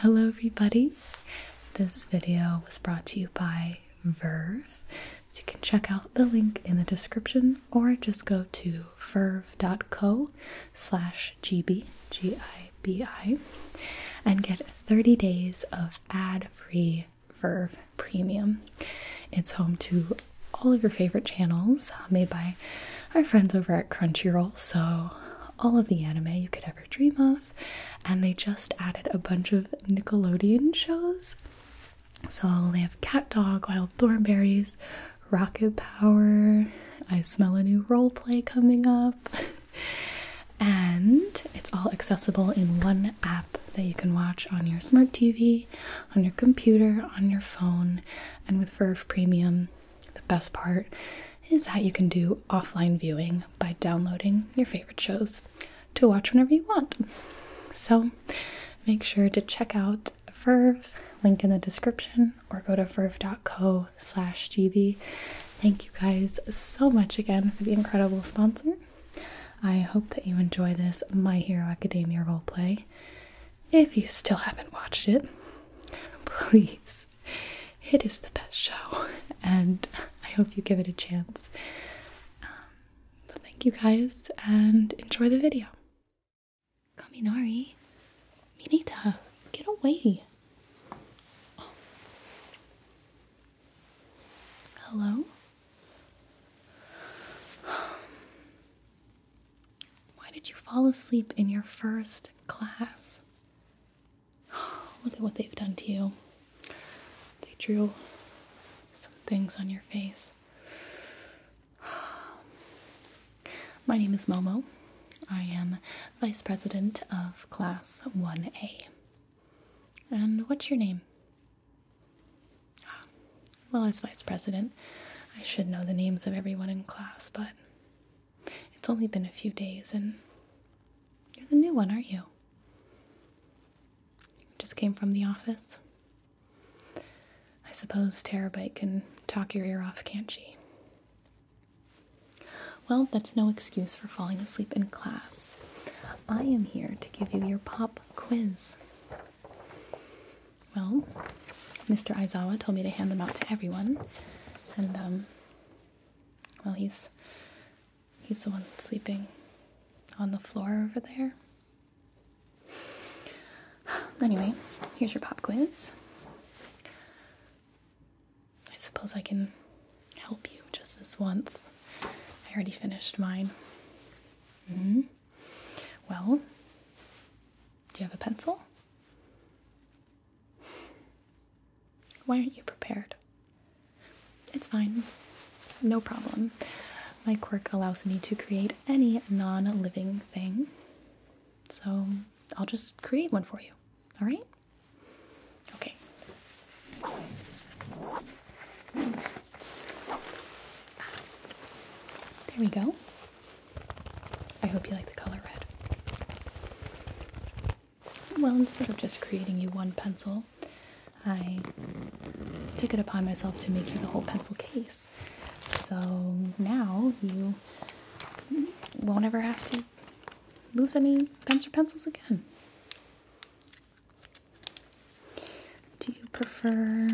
Hello, everybody. This video was brought to you by Verve. you can check out the link in the description or just go to verve.co slash gb, and get 30 days of ad-free Verve Premium. It's home to all of your favorite channels uh, made by our friends over at Crunchyroll. So, all of the anime you could ever dream of. And they just added a bunch of Nickelodeon shows. So, they have CatDog, Wild Thornberries, Rocket Power. I smell a new roleplay coming up. and it's all accessible in one app that you can watch on your smart TV, on your computer, on your phone, and with Verve Premium, the best part is that you can do offline viewing by downloading your favorite shows to watch whenever you want. So make sure to check out Verve, link in the description, or go to verve.co slash gb. Thank you guys so much again for the incredible sponsor. I hope that you enjoy this My Hero Academia roleplay if you still haven't watched it, please. It is the best show, and I hope you give it a chance. but um, thank you guys, and enjoy the video. Kaminari, Minita, get away. Hello? Why did you fall asleep in your first class? Look at what they've done to you. They drew some things on your face. My name is Momo. I am Vice President of Class 1A. And what's your name? Well, as Vice President, I should know the names of everyone in class, but it's only been a few days, and you're the new one, aren't you? Just came from the office. I suppose Terabyte can talk your ear off, can't she? Well, that's no excuse for falling asleep in class. I am here to give you your pop quiz. Well, Mr. Izawa told me to hand them out to everyone, and um, well, he's he's the one sleeping on the floor over there. Anyway, here's your pop quiz. I suppose I can help you just this once. I already finished mine. hmm Well, do you have a pencil? Why aren't you prepared? It's fine. No problem. My quirk allows me to create any non living thing. So I'll just create one for you. All right? Okay. There we go. I hope you like the color red. Well, instead of just creating you one pencil, I took it upon myself to make you the whole pencil case. So now you won't ever have to lose any pens or pencils again. Do you prefer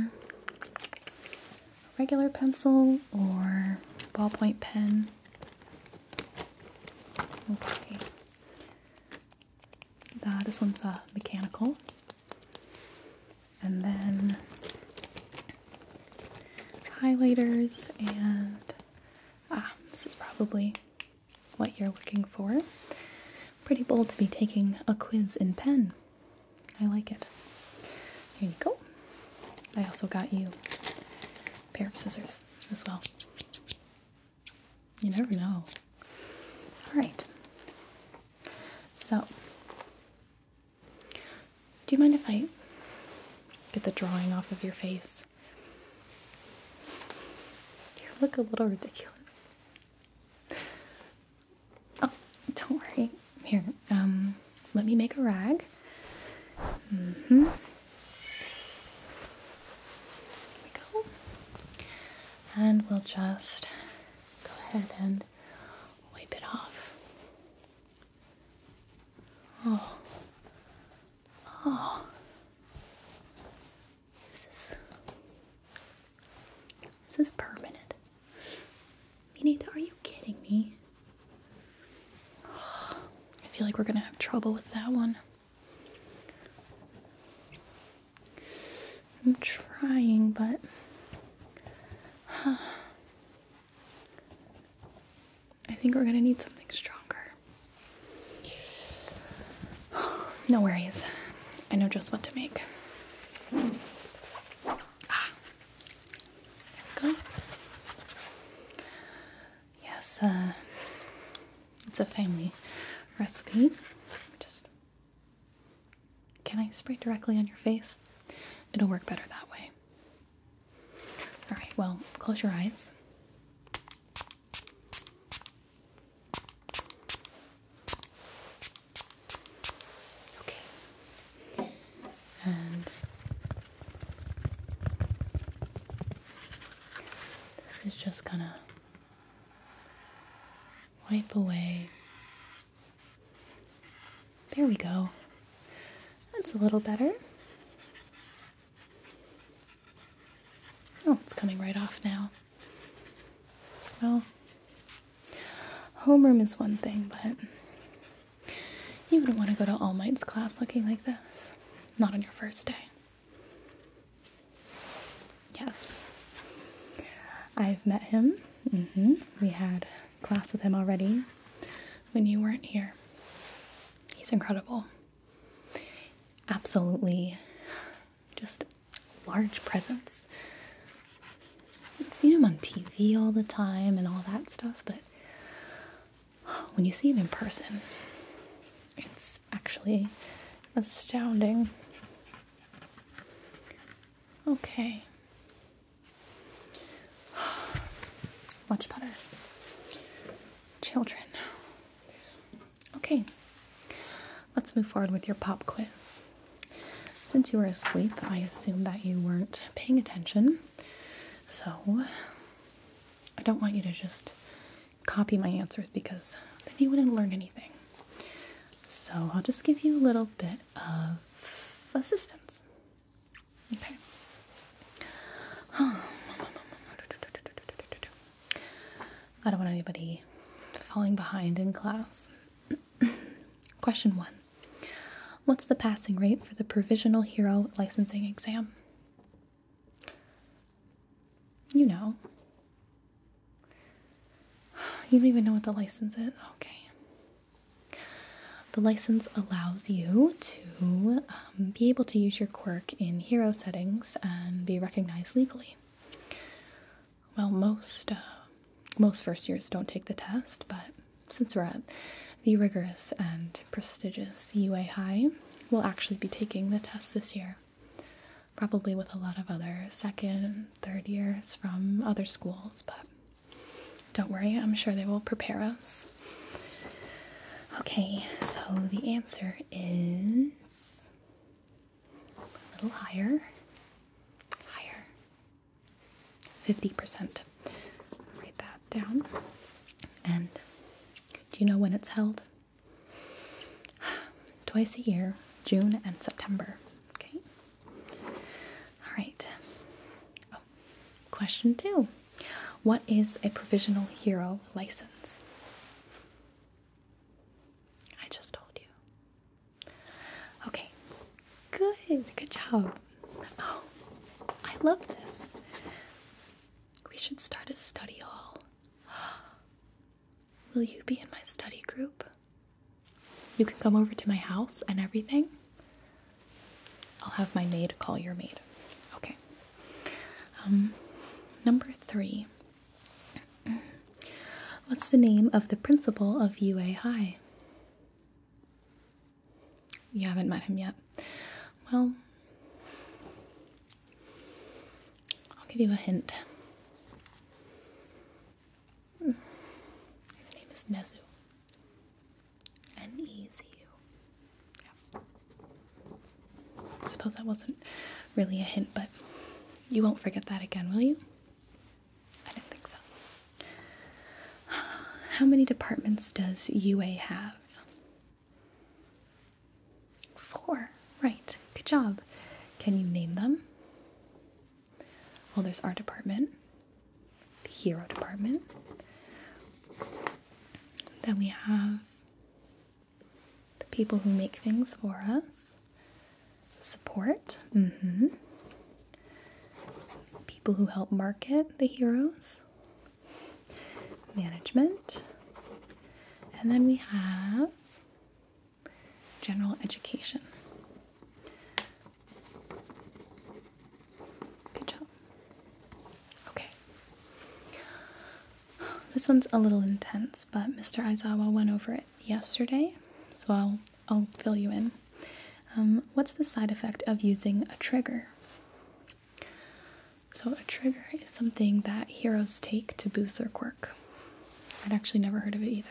regular pencil or ballpoint pen? Okay. Uh, this one's a uh, mechanical. And then highlighters and ah, this is probably what you're looking for. Pretty bold to be taking a quiz in pen. I like it. Here you go. I also got you a pair of scissors as well. You never know. All right. So, do you mind if I get the drawing off of your face? You look a little ridiculous. Oh, don't worry. Here, um, let me make a rag. There mm-hmm. we go. And we'll just go ahead and wipe it off. Oh. Oh. This is this is permanent. Minita, are you kidding me? I feel like we're gonna have trouble with that one. I'm trying, but. I think we're gonna need something stronger. no worries. I know just what to make. Ah go. Yes, uh, it's a family recipe. Just can I spray directly on your face? It'll work better that way. All right. Well, close your eyes. Okay and this is just gonna wipe away. There we go. That's a little better. Oh, it's coming right off now. Well, homeroom is one thing, but you wouldn't want to go to All Might's class looking like this. Not on your first day. Yes. I've met him. Mm-hmm. We had class with him already when you weren't here. He's incredible. Absolutely just large presence. I've seen him on TV all the time and all that stuff, but when you see him in person, it's actually astounding. Okay. Much better. Children. Okay. Let's move forward with your pop quiz. Since you were asleep, I assume that you weren't paying attention, so I don't want you to just copy my answers because then you wouldn't learn anything. So I'll just give you a little bit of assistance. Okay. I don't want anybody falling behind in class. Question one What's the passing rate for the provisional hero licensing exam? You know. You don't even know what the license is. Okay. The license allows you to um, be able to use your quirk in hero settings and be recognized legally. Well, most uh, most first years don't take the test, but since we're at the rigorous and prestigious UA High, we'll actually be taking the test this year, probably with a lot of other second and third years from other schools, but don't worry, I'm sure they will prepare us. Okay, so the answer is a little higher. Higher. 50%. Write that down. And do you know when it's held? Twice a year, June and September. Okay. All right. Oh, question two What is a provisional hero license? I just told you. Okay. Good. Good job. Oh, I love this. We should start a study hall. Will you be in my study group? You can come over to my house and everything. I'll have my maid call your maid. Okay. Um, number three. What's the name of the principal of UA High? You haven't met him yet. Well, I'll give you a hint. His name is Nezu. N E Z U. I suppose that wasn't really a hint, but you won't forget that again, will you? I didn't think so. How many departments does UA have? Four. Right. Good job. Can you name them? Well, there's our department, the hero department. Then we have the people who make things for us, support, mm-hmm. people who help market the heroes, management. And then we have general education. Good job. Okay. This one's a little intense, but Mr. Izawa went over it yesterday, so I'll I'll fill you in. Um, what's the side effect of using a trigger? So, a trigger is something that heroes take to boost their quirk. I'd actually never heard of it either.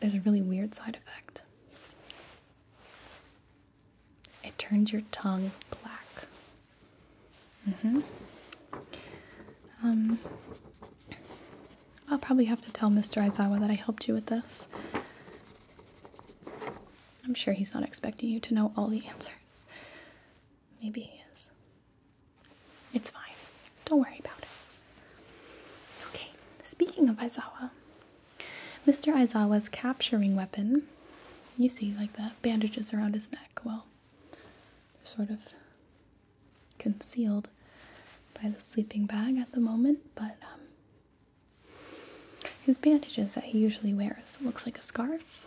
There's a really weird side effect. It turns your tongue black. Mm-hmm. Um, I'll probably have to tell Mr. Izawa that I helped you with this. I'm sure he's not expecting you to know all the answers. Maybe he is. It's fine. Don't worry about it. Okay, speaking of Izawa, Mr. Izawa's capturing weapon, you see, like the bandages around his neck, well, they're sort of concealed by the sleeping bag at the moment, but um, his bandages that he usually wears looks like a scarf.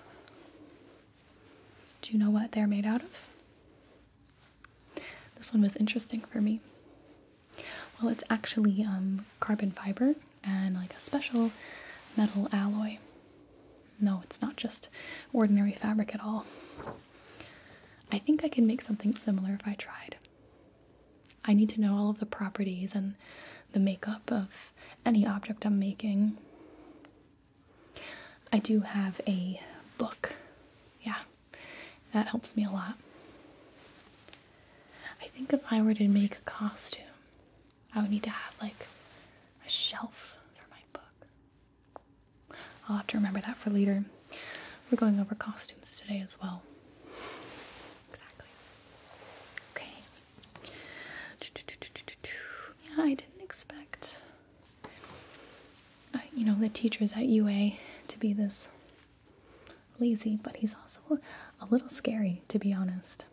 Do you know what they're made out of? This one was interesting for me. Well, it's actually um, carbon fiber and like a special metal alloy. No, it's not just ordinary fabric at all. I think I could make something similar if I tried. I need to know all of the properties and the makeup of any object I'm making. I do have a book. Yeah, that helps me a lot. I think if I were to make a costume, I would need to have like a shelf for my book. I'll have to remember that for later. We're going over costumes today as well. Exactly. Okay. Yeah, I didn't expect, uh, you know, the teachers at UA to be this lazy, but he's also a little scary, to be honest.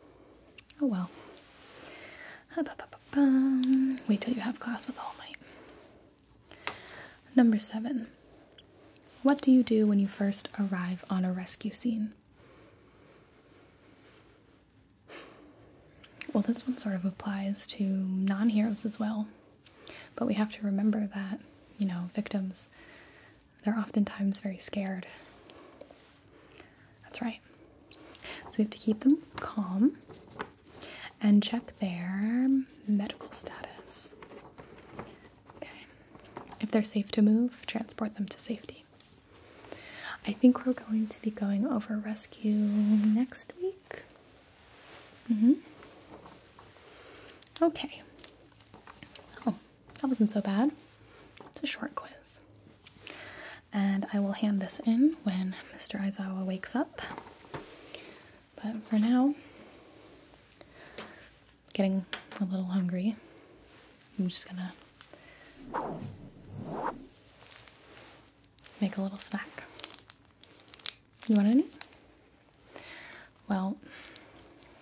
Oh well. Wait till you have class with All Might. Number seven. What do you do when you first arrive on a rescue scene? Well, this one sort of applies to non heroes as well. But we have to remember that, you know, victims, they're oftentimes very scared. That's right. So we have to keep them calm and check their medical status. If they're safe to move, transport them to safety. I think we're going to be going over rescue next week. Mm-hmm. Okay. Oh, that wasn't so bad. It's a short quiz. And I will hand this in when Mr. Izawa wakes up. But for now, getting a little hungry. I'm just gonna make a little snack. You want any? Well,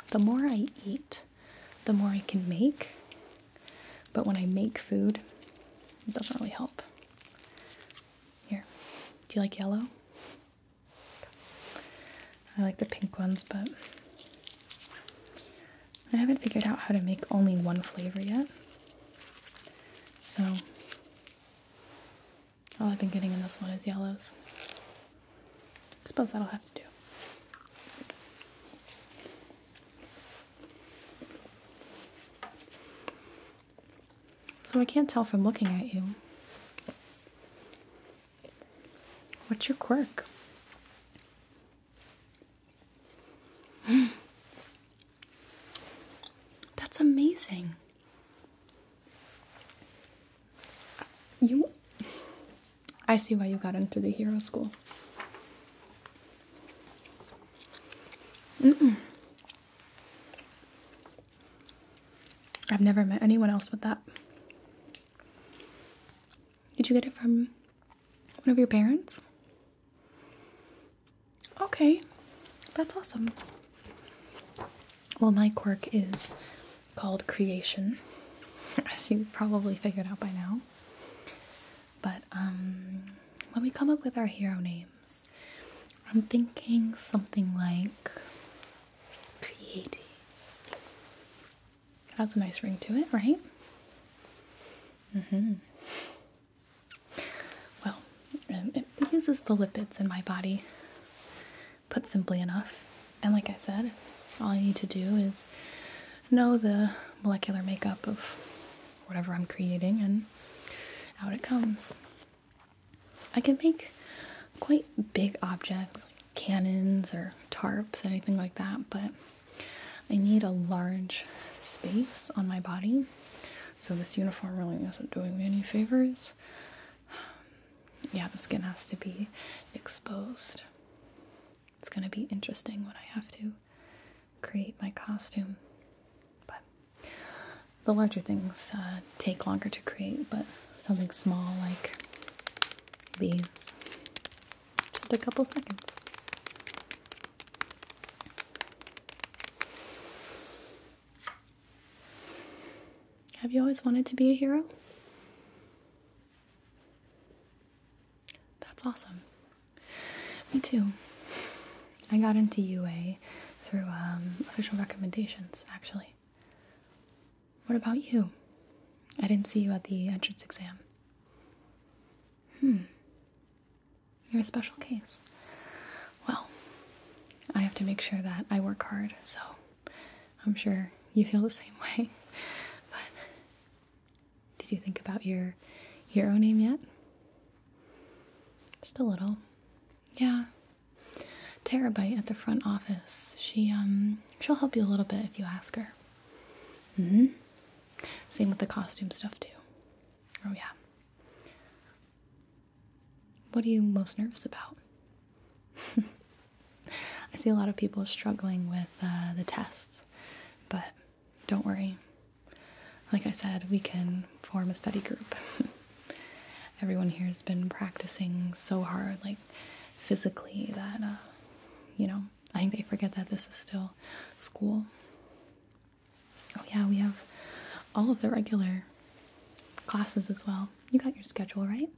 the more I eat, the more I can make. But when I make food, it doesn't really help. Here, do you like yellow? I like the pink ones, but I haven't figured out how to make only one flavor yet. So all I've been getting in this one is yellows. I suppose that'll have to do. So I can't tell from looking at you What's your quirk? That's amazing. You I see why you got into the hero school. Mm I've never met anyone else with that. Did you get it from one of your parents? Okay, that's awesome. Well, my quirk is called creation, as you probably figured out by now. But um, when we come up with our hero names, I'm thinking something like creative it has a nice ring to it, right? Mm-hmm. Well, um, it uses the lipids in my body, put simply enough. And like I said, all I need to do is know the molecular makeup of whatever I'm creating, and out it comes. I can make quite big objects, cannons or tarps, anything like that, but I need a large space on my body. So this uniform really isn't doing me any favors. Um, yeah, the skin has to be exposed. It's gonna be interesting when I have to create my costume. But the larger things uh, take longer to create, but something small like leaves. Just a couple seconds. Have you always wanted to be a hero? That's awesome. Me too. I got into UA through um, official recommendations, actually. What about you? I didn't see you at the entrance exam. Hmm. You're a special case. Well, I have to make sure that I work hard, so I'm sure you feel the same way. But did you think about your hero name yet? Just a little. Yeah terabyte at the front office. She um she'll help you a little bit if you ask her. Mm hmm. Same with the costume stuff too. Oh yeah. What are you most nervous about? I see a lot of people struggling with uh, the tests, but don't worry. Like I said, we can form a study group. Everyone here has been practicing so hard, like physically that uh, you know I think they forget that this is still school. Oh yeah, we have all of the regular classes as well. You got your schedule right?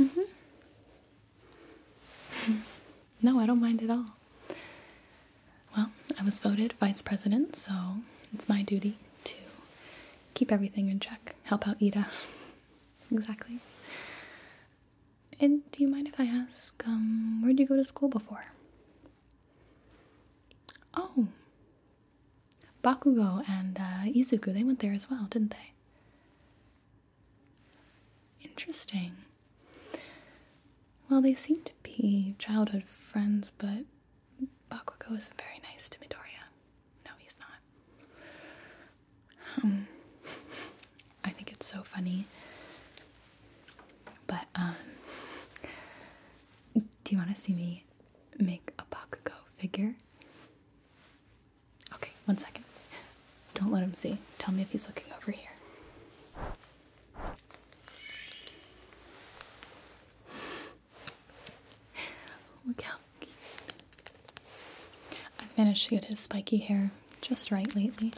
Mm-hmm. no, I don't mind at all. Well, I was voted vice president, so it's my duty to keep everything in check, help out Ida. Exactly. And do you mind if I ask, um, where'd you go to school before? Oh, Bakugo and uh, Izuku, they went there as well, didn't they? Interesting. Well, they seem to be childhood friends, but Bakugo isn't very nice to Midoriya. No, he's not. Um, I think it's so funny. But, um, do you want to see me make a Bakugo figure? Okay, one second. Don't let him see. Tell me if he's looking over here. Look how I've managed to get his spiky hair just right lately.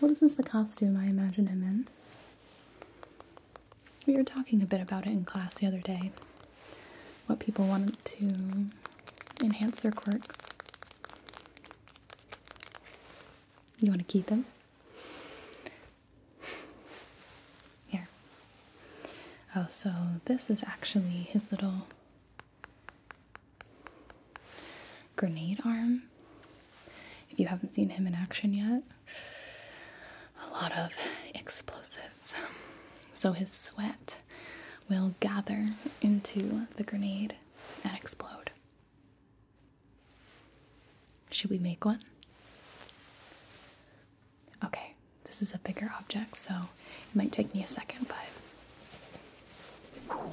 Well, this is the costume I imagine him in. We were talking a bit about it in class the other day. What people wanted to enhance their quirks. You want to keep him? Here. Oh, so this is actually his little grenade arm. If you haven't seen him in action yet, a lot of explosives. So his sweat will gather into the grenade and explode. Should we make one? Okay, this is a bigger object, so it might take me a second, but I'm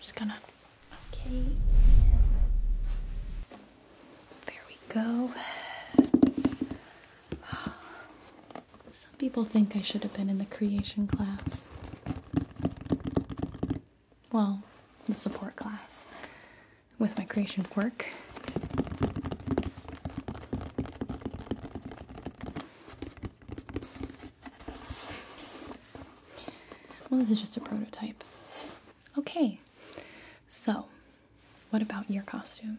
just gonna. Okay. There we go. Some people think I should have been in the creation class well, the support class with my creation work. Well, this is just a prototype. Okay, so what about your costume?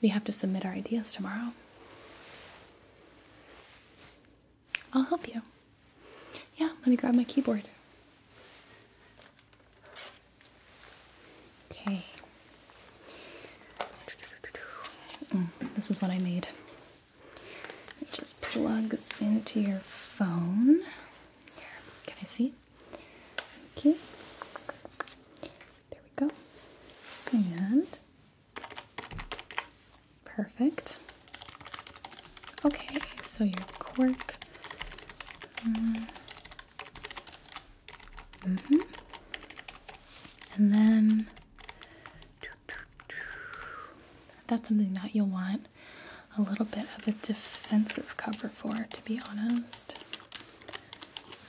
We have to submit our ideas tomorrow. I'll help you. Yeah, let me grab my keyboard. Okay. Mm, this is what I made. It just plugs into your phone. Here, can I see? Thank you. There we go. And Perfect. Okay, so your quirk. Mm. hmm And then that's something that you'll want a little bit of a defensive cover for, to be honest.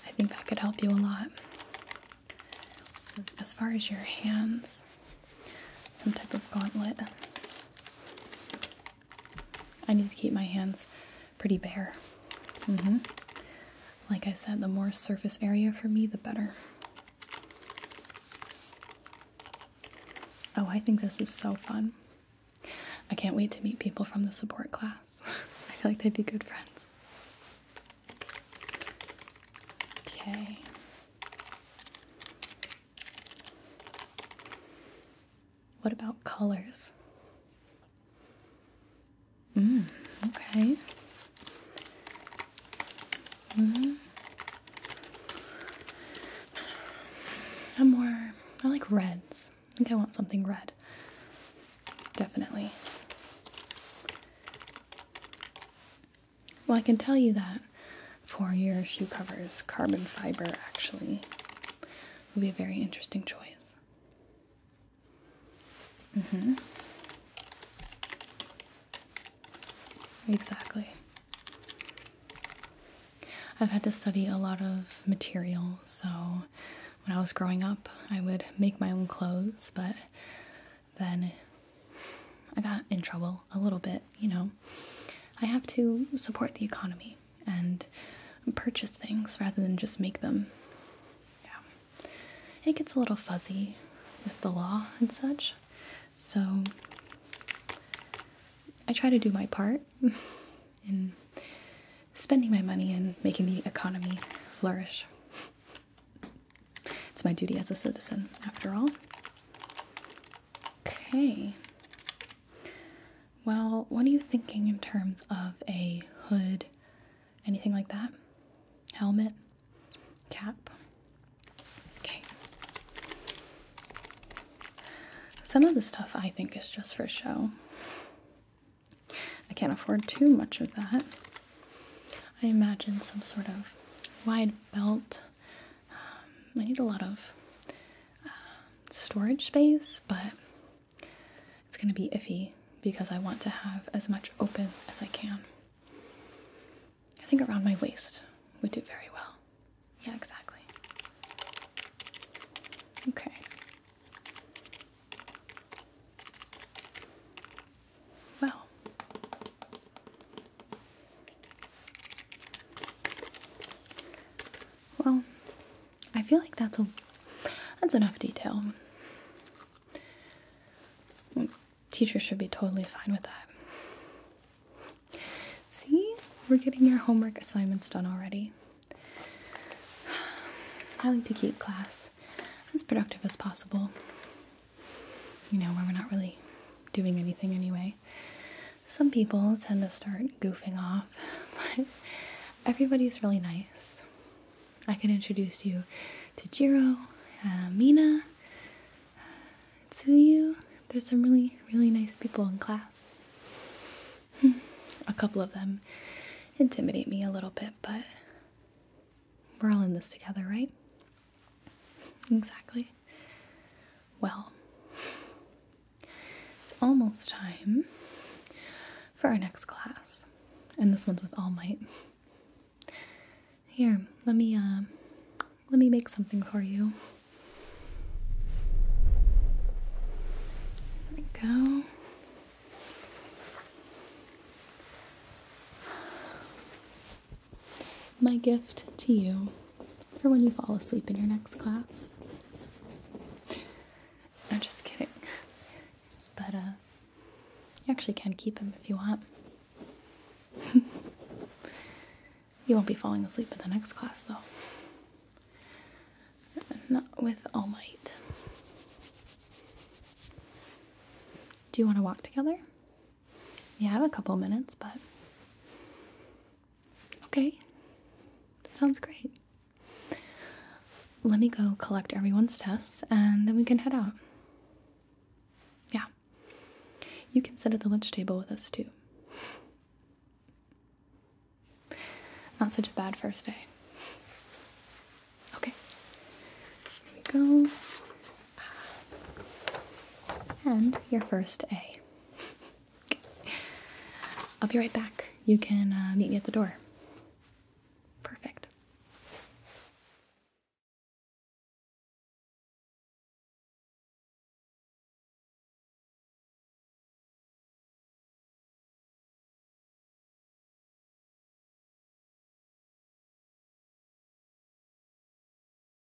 I think that could help you a lot. as far as your hands, some type of gauntlet. I need to keep my hands pretty bare. Mm-hmm. Like I said, the more surface area for me, the better. Oh, I think this is so fun. I can't wait to meet people from the support class. I feel like they'd be good friends. Okay. What about colors? Mm, okay. Mm. I'm more, I like reds. I think I want something red. Definitely. Well, I can tell you that for your shoe covers, carbon fiber actually would be a very interesting choice. Mm-hmm. Exactly. I've had to study a lot of materials. so when I was growing up, I would make my own clothes, but then I got in trouble a little bit, you know. I have to support the economy and purchase things rather than just make them. Yeah. It gets a little fuzzy with the law and such. So I try to do my part in spending my money and making the economy flourish. It's my duty as a citizen, after all. Okay. Well, what are you thinking in terms of a hood? Anything like that? Helmet? Cap? Okay. Some of the stuff I think is just for show. I can't afford too much of that. I imagine some sort of wide belt um, I need a lot of um, storage space, but it's going to be iffy because I want to have as much open as I can. I think around my waist would do very well. Yeah, exactly. Okay. Well, well, I feel like that's a that's enough detail. Teachers should be totally fine with that. See, we're getting your homework assignments done already. I like to keep class as productive as possible. You know, where we're not really doing anything anyway some people tend to start goofing off, but everybody's really nice. I can introduce you to Jiro, uh, Mina, uh, There's some really, really nice people in class. a couple of them intimidate me a little bit, but we're all in this together, right? Exactly. Well, it's almost time for our next class. And this one's with Almight. Here, let me uh, let me make something for you. go my gift to you for when you fall asleep in your next class. I'm just kidding. But, uh, you actually can keep him if you want. you won't be falling asleep in the next class, though. Not with All Might. Do you want to walk together? You have a couple minutes, but okay. That sounds great. Let me go collect everyone's tests and then we can head out. Yeah. You can sit at the lunch table with us too. Not such a bad first day. Okay. Here we go and your first A. will be right back. You can uh, meet me at the door. Perfect.